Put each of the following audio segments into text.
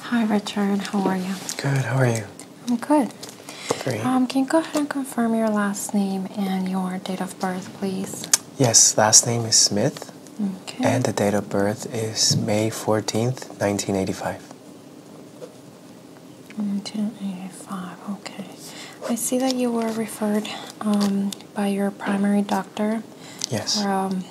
Hi, Richard. How are you? Good. How are you? I'm good. Great. Um, can you go ahead and confirm your last name and your date of birth, please? Yes, last name is Smith. Okay. And the date of birth is May 14th, 1985. 1985, okay. I see that you were referred um, by your primary doctor. Yes. um,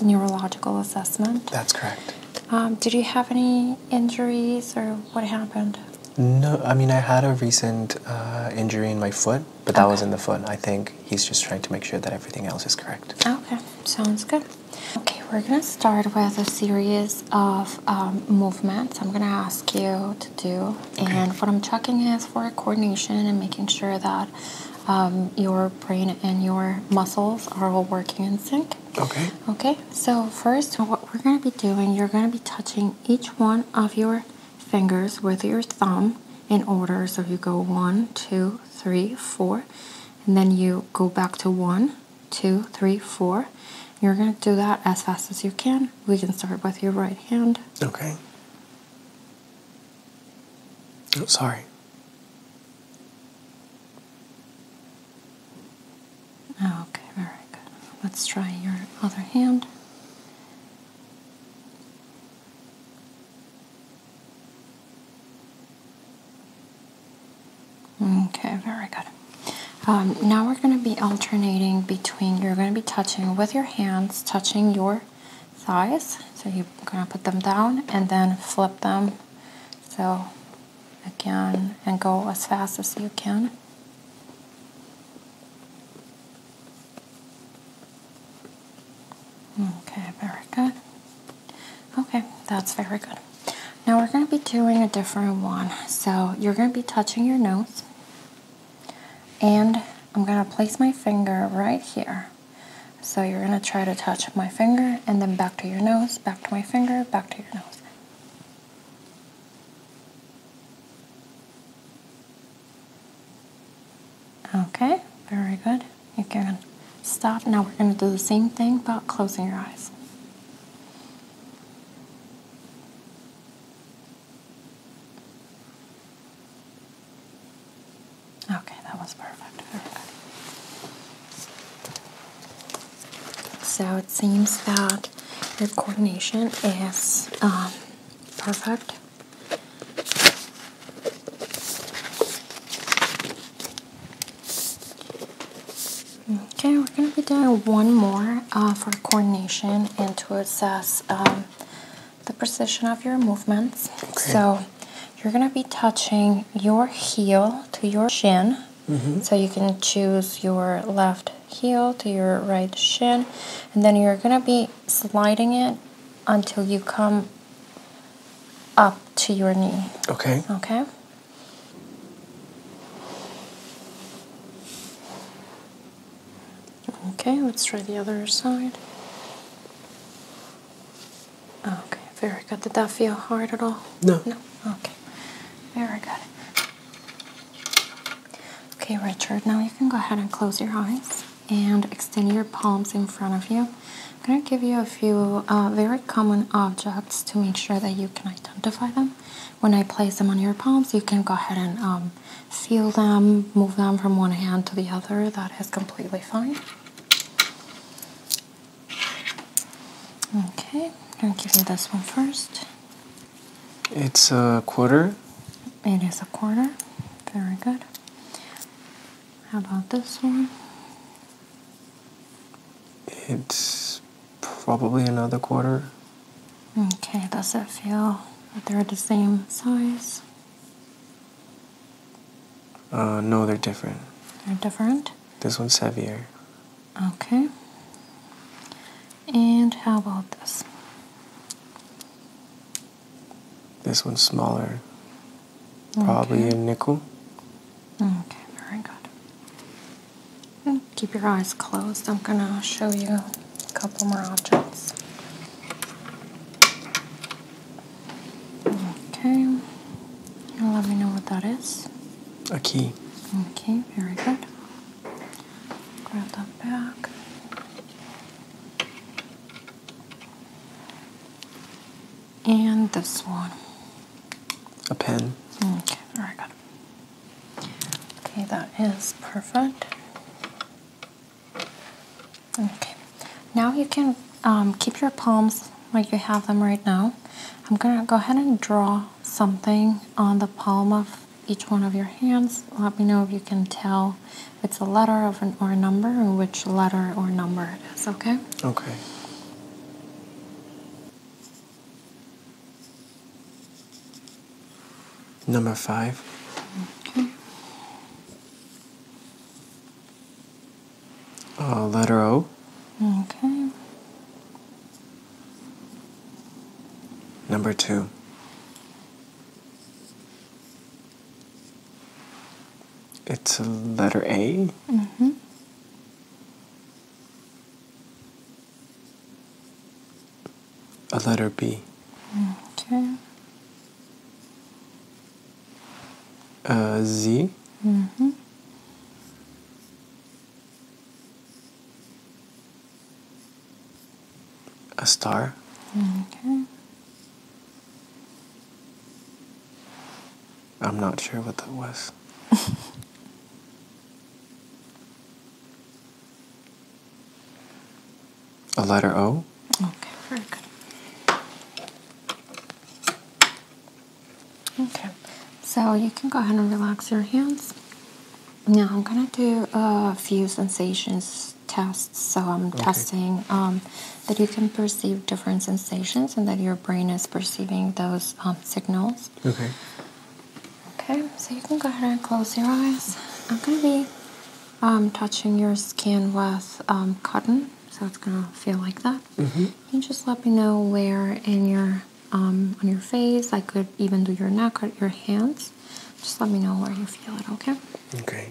neurological assessment. That's correct. Um, did you have any injuries or what happened? No, I mean, I had a recent uh, injury in my foot, but that was in the foot. I think he's just trying to make sure that everything else is correct. Okay, sounds good. Okay, we're gonna start with a series of um, movements I'm gonna ask you to do. And what I'm checking is for coordination and making sure that um, your brain and your muscles are all working in sync. Okay. Okay, so first, what we're going to be doing, you're going to be touching each one of your fingers with your thumb in order. So you go one, two, three, four, and then you go back to one, two, three, four. You're going to do that as fast as you can. We can start with your right hand. Okay. Oh, sorry. Oh, okay, very good. Let's try your other hand. Okay, very good. Um, now we're going to be alternating between, you're going to be touching with your hands, touching your size. So you're gonna put them down and then flip them. So again, and go as fast as you can. Okay, very good. Okay, that's very good. Now we're going to be doing a different one. So you're going to be touching your nose. And I'm going to place my finger right here. So you're going to try to touch my finger and then back to your nose, back to my finger, back to your nose. Okay, very good. You can stop. Now we're going to do the same thing but closing your eyes. Okay, that was perfect. So it seems that your coordination is um, perfect. Okay, we're going to be doing one more uh, for coordination and to assess um, the precision of your movements. So you're going to be touching your heel to your shin. Mm-hmm. So you can choose your left heel to your right shin. And then you're going to be sliding it until you come up to your knee. Okay. Okay. Okay, let's try the other side. Okay, very good. Did that feel hard at all? No. No. Okay. got it. Okay, Richard, now you can go ahead and close your eyes and extend your palms in front of you. I'm going to give you a few uh, very common objects to make sure that you can identify them. When I place them on your palms, you can go ahead and um, feel them, move them from one hand to the other. That is completely fine. Okay, I'll give you this one first. It's a quarter? It is a quarter. Very good. How about this one? It's probably another quarter. Okay, does it feel that they're the same size? Uh, no, they're different. They're different? This one's heavier. Okay. And how about this? This one's smaller. Probably a nickel. Okay, very good. Keep your eyes closed. I'm going to show you a couple more objects. Okay. let me know what that is. A key. Okay, very good. Grab that back. And this one. A pen. Okay, very good. Okay, that is perfect. Okay, now you can um, keep your palms where you have them right now. I'm gonna go ahead and draw something on the palm of each one of your hands. Let me know if you can tell if it's a letter of an, or a number or which letter or number it is, okay? Okay. Number five. Okay. A uh, letter O. Okay. Number two. It's a letter A. hmm A letter B. Okay uh, mm-hmm. star. Okay. I'm not sure what that was. A letter O. Okay, very good. Okay, so you can go ahead and relax your hands. Now I'm gonna do a few sensations tests. So I'm testing um, that you can perceive different sensations and that your brain is perceiving those um, signals. Okay. Okay, so you can go ahead and close your eyes. I'm gonna be um, touching your skin with um, cotton, so it's gonna feel like that. Mm just let me know where in your um, on your face. I could even do your neck or your hands. Just let me know where you feel it. Okay. Okay.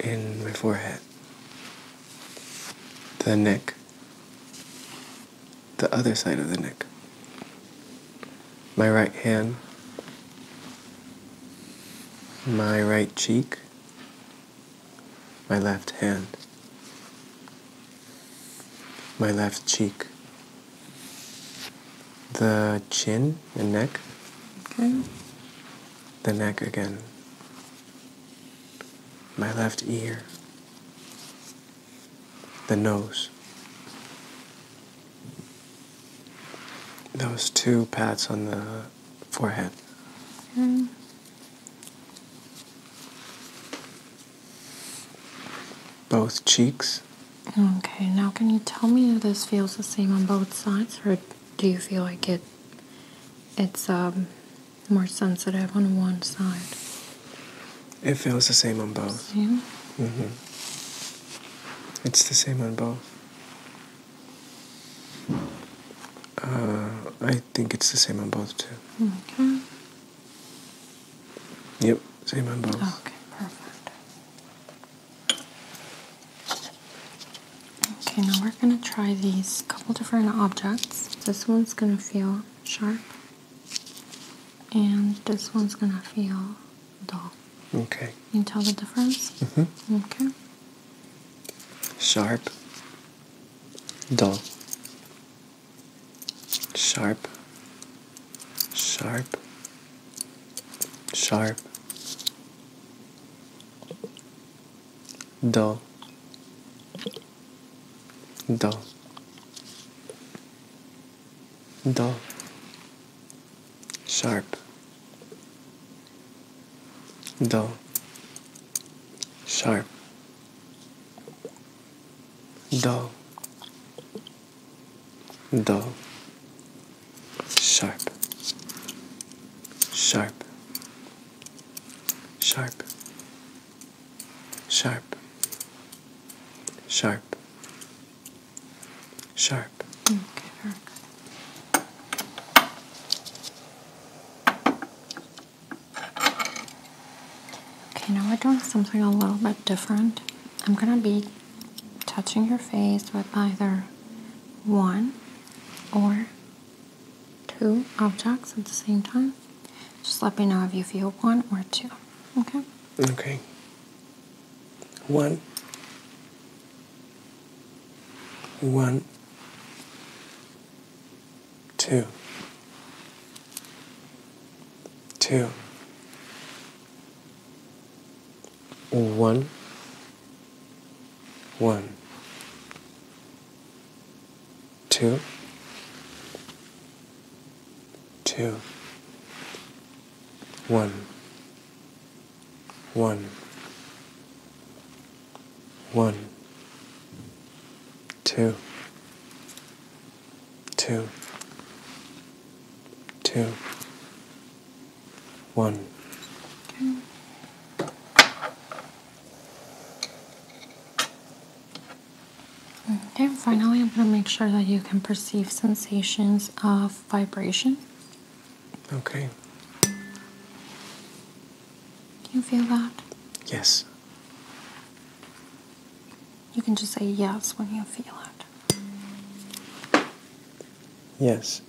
In my forehead. The neck. The other side of the neck my right hand, my right cheek, my left hand, my left cheek, the chin and neck, okay. the neck again, my left ear, the nose, those two pats on the forehead. Both cheeks. Okay, now can you tell me if this feels the same on both sides, or do you feel like it it's um, more sensitive on one side? It feels the same on both. Mm-hmm. It's the same on both. Uh, I think it's the same on both too. Okay. Yep, same on both. Okay, perfect. Okay, now we're gonna try these couple different objects. This one's gonna feel sharp, and this one's gonna feel Dull. Okay. You tell the difference? hmm Okay. Sharp, dull. Sharp, sharp, sharp, dull, dull, dull sharp, dull, sharp, dull, dull, sharp, sharp, sharp, sharp, sharp, sharp. Okay. okay, now we're doing something a little bit different. I'm gonna be touching your face with either one or two objects at the same time. Just let me know if you feel one or two. Okay? Okay one, one, two, two, one, one, two, two, one one, one, two, two, two, one. Okay. Okay, finally, I'm going to make sure that you can perceive sensations of vibration. Okay. You feel that? Yes. You can just say yes when you feel it. Yes.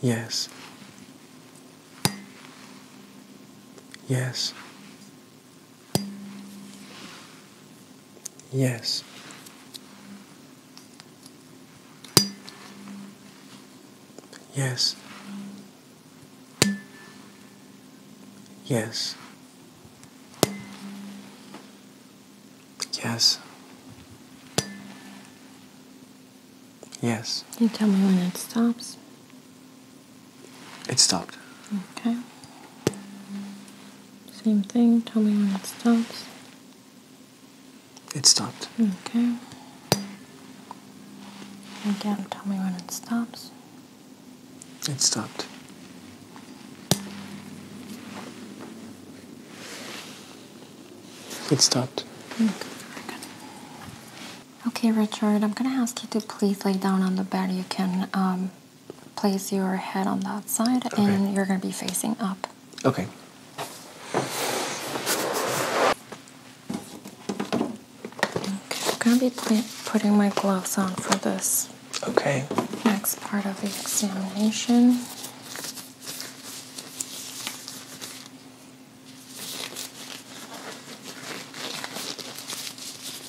Yes. Yes. Yes. Yes. Yes. Yes. Yes. You tell me when it stops. It stopped. Okay. Same thing. Tell me when it stops. It stopped. Okay. Again, tell me when it stops. It stopped. It stopped. Okay, okay Richard, I'm going to ask you to please lay down on the bed. You can um, place your head on that side and you're going to be facing up. Okay. okay I'm going to be putting my gloves on for this. Okay. Next part of the examination.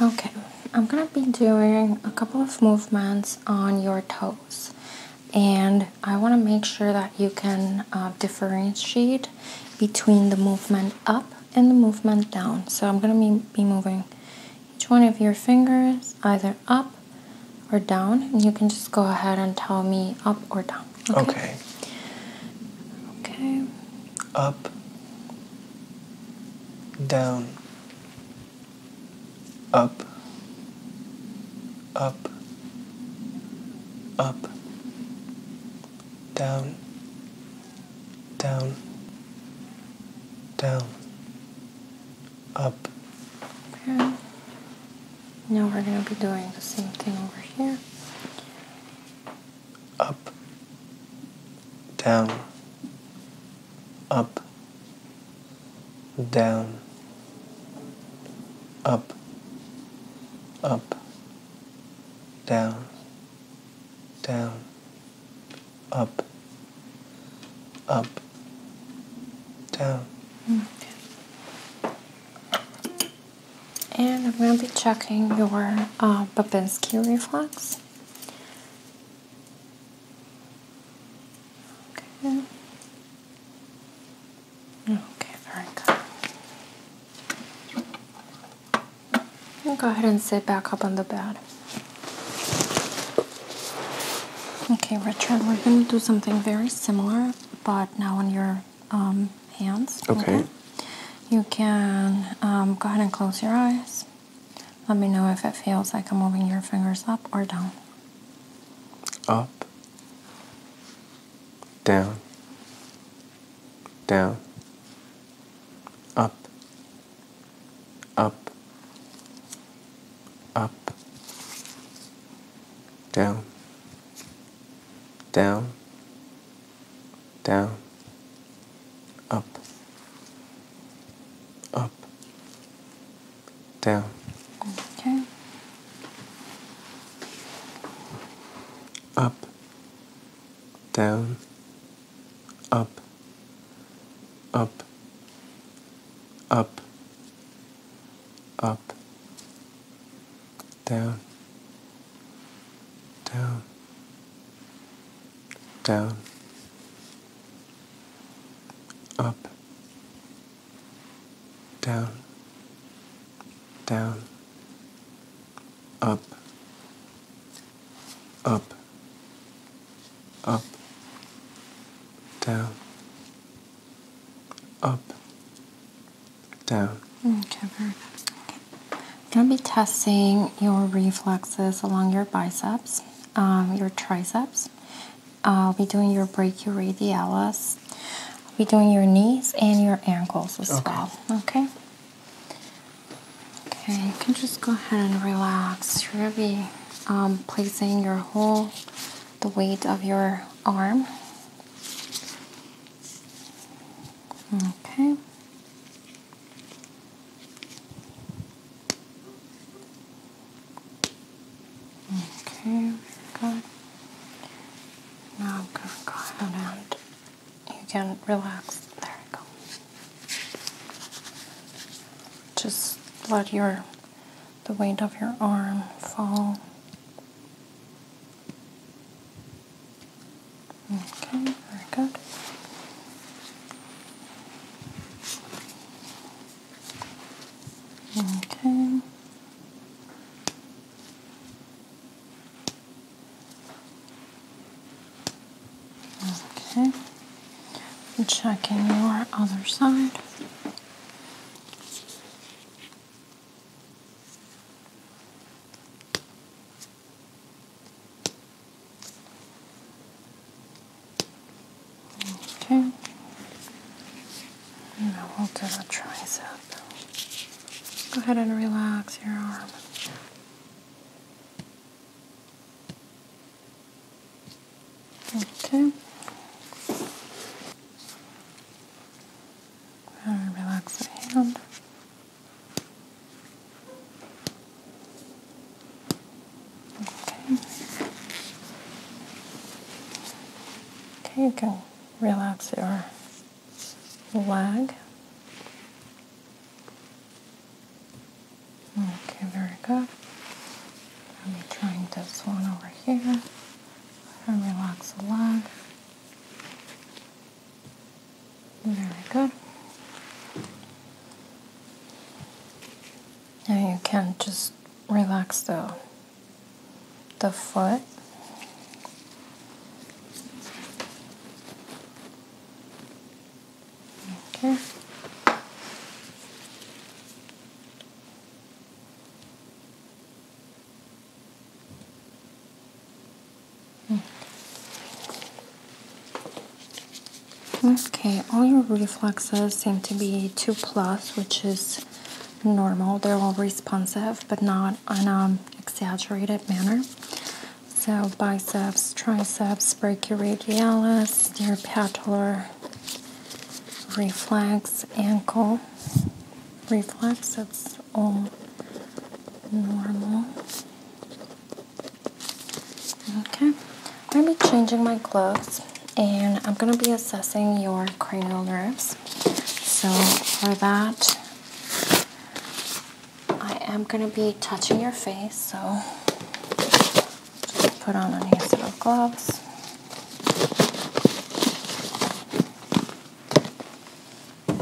Okay, I'm gonna be doing a couple of movements on your toes, and I want to make sure that you can uh, differentiate between the movement up and the movement down. So I'm gonna be moving each one of your fingers either up or down, and you can just go ahead and tell me up or down. Okay. Okay. okay. Up down, up, up, up, down, down, down, up. Okay. Now we're going to be doing the same thing over here up, down, up, down, up, up, down, down, up, up, down. And I'm going to be checking your uh, Babinski reflex. Okay. Okay, very good. go ahead and sit back up on the bed. Okay, Richard, we're going to do something very similar, but now on your um, hands. Okay. You can um, go ahead and close your eyes. Let me know if it feels like I'm moving your fingers up or down. Up, down, down, up, up, up, down, down, down, up, up, down. Okay. Up, down, up, up, up, up, down, down down, up, down, down, up, up, up, down, up, down. I'm going to be testing your reflexes along your biceps, um, your triceps. I'll be doing your brachioradialis. I'll be doing your knees and your ankles as well. Okay. Okay, you can just go ahead and relax. You're going to be um, placing your whole the weight of your arm. Okay. Okay, good. Now I'm gonna go ahead you can relax. There you go. Just let your the weight of your arm fall. Okay, very good. Okay. Okay. Checking your other side. Okay. Now we'll do a tricep. Go ahead and relax your arm. Okay. And relax the hand. Okay. Okay, you can relax your leg. Okay, very good. I'll be trying this one over here. And relax the leg. There we go. Now you can just relax the the foot. Okay. Okay, all your reflexes seem to be 2 plus, which is normal. They're all responsive, but not in an exaggerated manner. So, biceps, triceps, brachioradialis, your patellar reflex, ankle reflex, that's all normal. Okay, I'm going to be changing my gloves and I'm going to be assessing your cranial nerves. So, for that, I am going to be touching your face. So, put on a new set of gloves. Okay.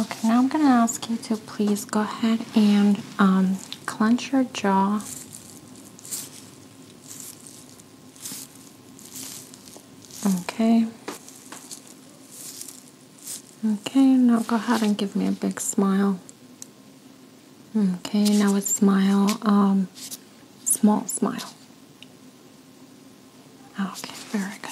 okay, now I'm going to ask you to please go ahead and um, clench your jaw. Okay. Okay, now go ahead and give me a big smile. Okay, now a smile, um, small smile. Okay, very good.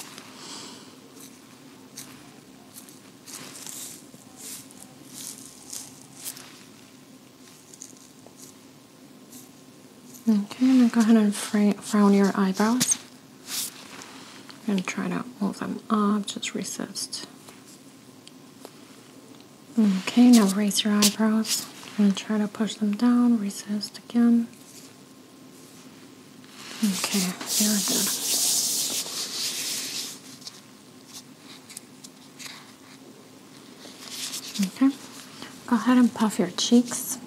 Okay, now go ahead and frown your eyebrows. I'm going to try to move them up, just resist. Okay, now raise your eyebrows. I'm going to try to push them down, Resist again. Okay, There we go. Okay, go ahead and puff your cheeks.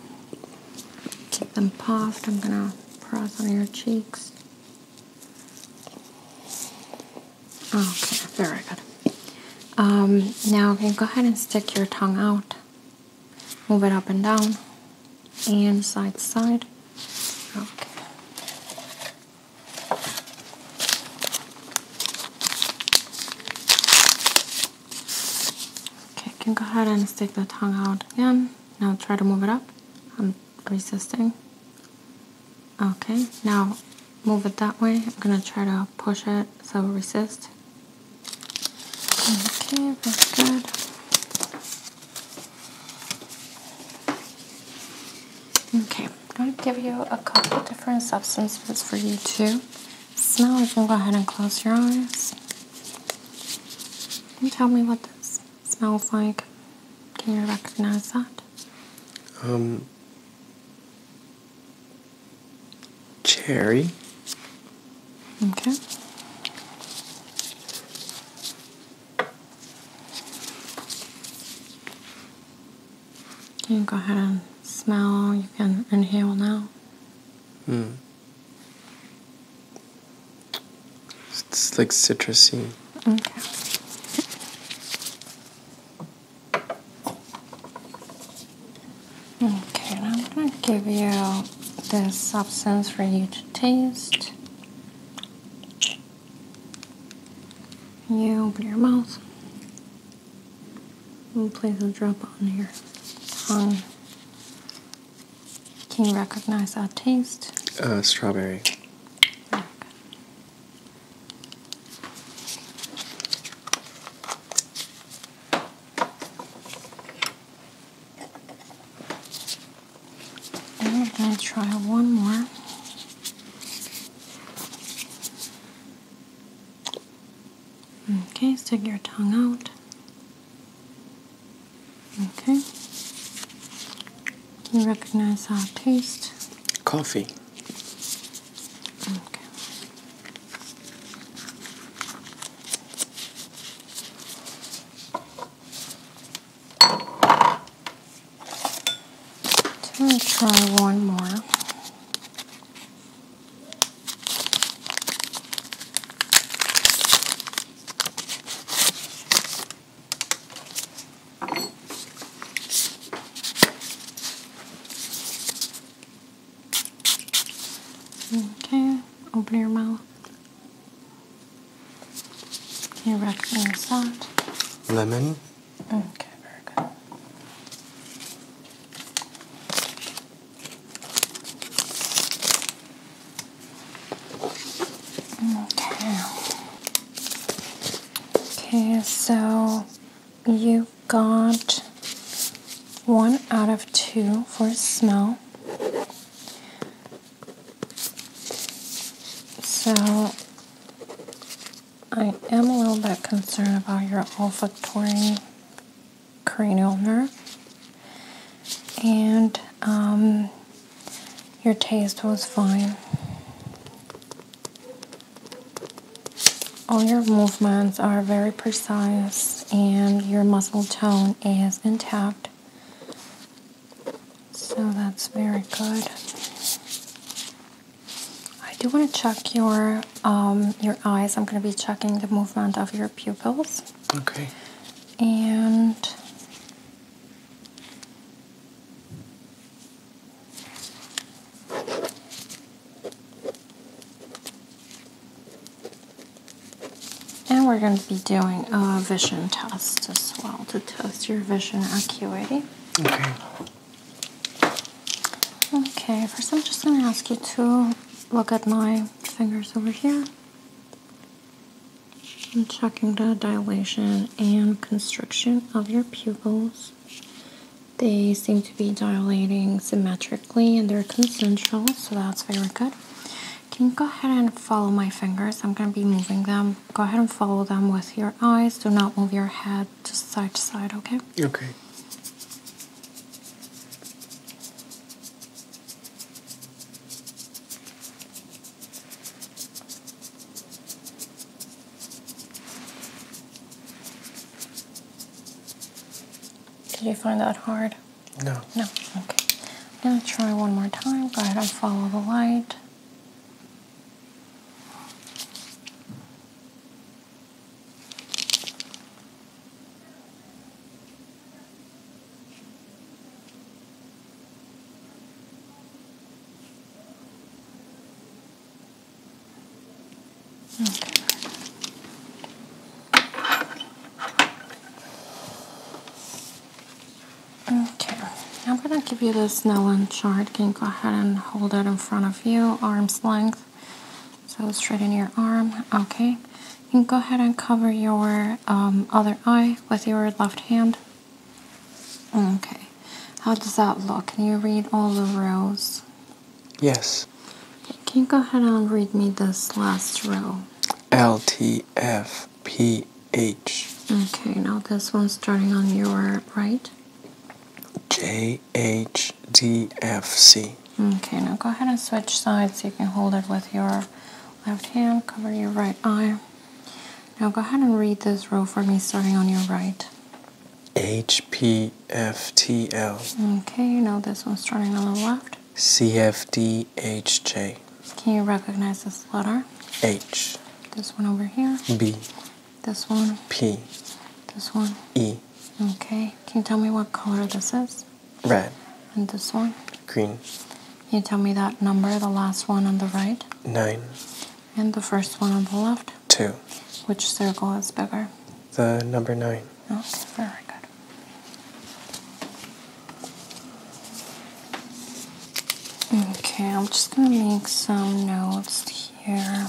Keep them puffed. I'm gonna press on your cheeks. Oh, okay, very good. Um, now you go ahead and stick your tongue out. Move it up and down, and side to side. Okay. Okay, you can go ahead and stick the tongue out again. Now try to move it up. I'm resisting. Okay, now move it that way. I'm gonna try to push it so resist. Okay, that's good. Okay, I'm gonna give you a couple different substances for you too smell, you can go ahead and close your eyes. And tell me what this smells like. Can you recognize that? Um, cherry. Okay. You Can go ahead and smell? You can inhale now. Hmm. It's like citrusy. Okay. Okay, I'm gonna give you this substance for you to taste. You open your mouth and place a drop on your tongue. Can you recognize our taste? Uh, strawberry. Okay. And we try one more. Okay, stick your tongue out. Okay. You recognize our taste? Coffee. Okay. So gonna try one more. Okay, open your mouth. You recommend salt? Lemon. Okay, very good. Okay. Okay, so you got one out of two for smell. So I am a little bit concerned about your olfactory cranial nerve, and um, your taste was fine. All your movements are very precise, and your muscle tone is intact. So that's very good. I do want to check your um, your eyes. I'm going to be checking the movement of your pupils. Okay. And and we're going to be doing a vision test as well to test your vision acuity. Okay. Okay, first I'm just going to ask you to look at my fingers over here. I'm checking the dilation and constriction of your pupils. They seem to be dilating symmetrically and they're concentric, so that's very good. Can you go ahead and follow my fingers? I'm going to be moving them. Go ahead and follow them with your eyes. Do not move your head just side to side, okay? Okay. Did you find that hard? No. No. Okay. I'm going to try one more time. Go ahead and follow the light. Okay. okay, I'm gonna give you this Snellen chart. Can you go ahead and hold it in front of you, arm's length? So straighten your arm. Okay. You can go ahead and cover your um, other eye with your left hand. Okay. How does that look? Can you read all the rows? Yes. Okay. Can you go ahead and read me this last row? L T F P H. Okay, now this one's starting on your right. J H D F C. Okay, now go ahead and switch sides so you can hold it with your left hand, cover your right eye. Now go ahead and read this row for me starting on your right. HPFTL. Okay, you know this one starting on the left. CFDHJ. Can you recognize this letter? H. This one over here? B. This one? P. This one? E. Okay. Can you tell me what color this is? Red. And this one? Green. Can you tell me that number, the last one on the right? Nine. And the first one on the left? Two. Which circle is bigger? The number nine. Okay, oh, very good. Okay, I'm just going to make some notes here.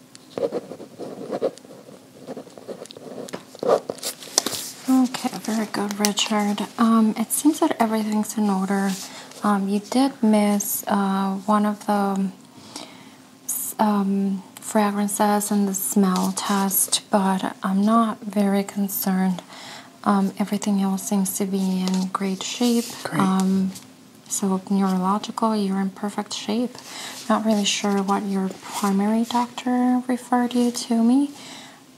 Okay, very good, Richard. Um, it seems that everything's in order. Um, you did miss uh, one of the um, fragrances in the smell test, but I'm not very concerned. everything else seems to be in great shape. Great. so neurological, urinary perfect shape. Not really sure what your primary doctor referred you to me,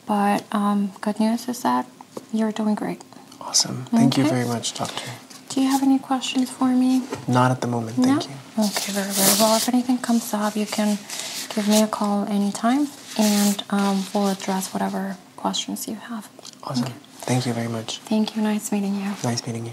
but um, good news is that you're doing great. Awesome. Thank you very much, doctor. Do you have any questions for me? Not at the moment, thank you. Okay, very, very well. If anything comes up, you can give me a call anytime and um, we'll address whatever questions you have. Awesome. Thank you very much. Thank you. Nice meeting you. Nice meeting you.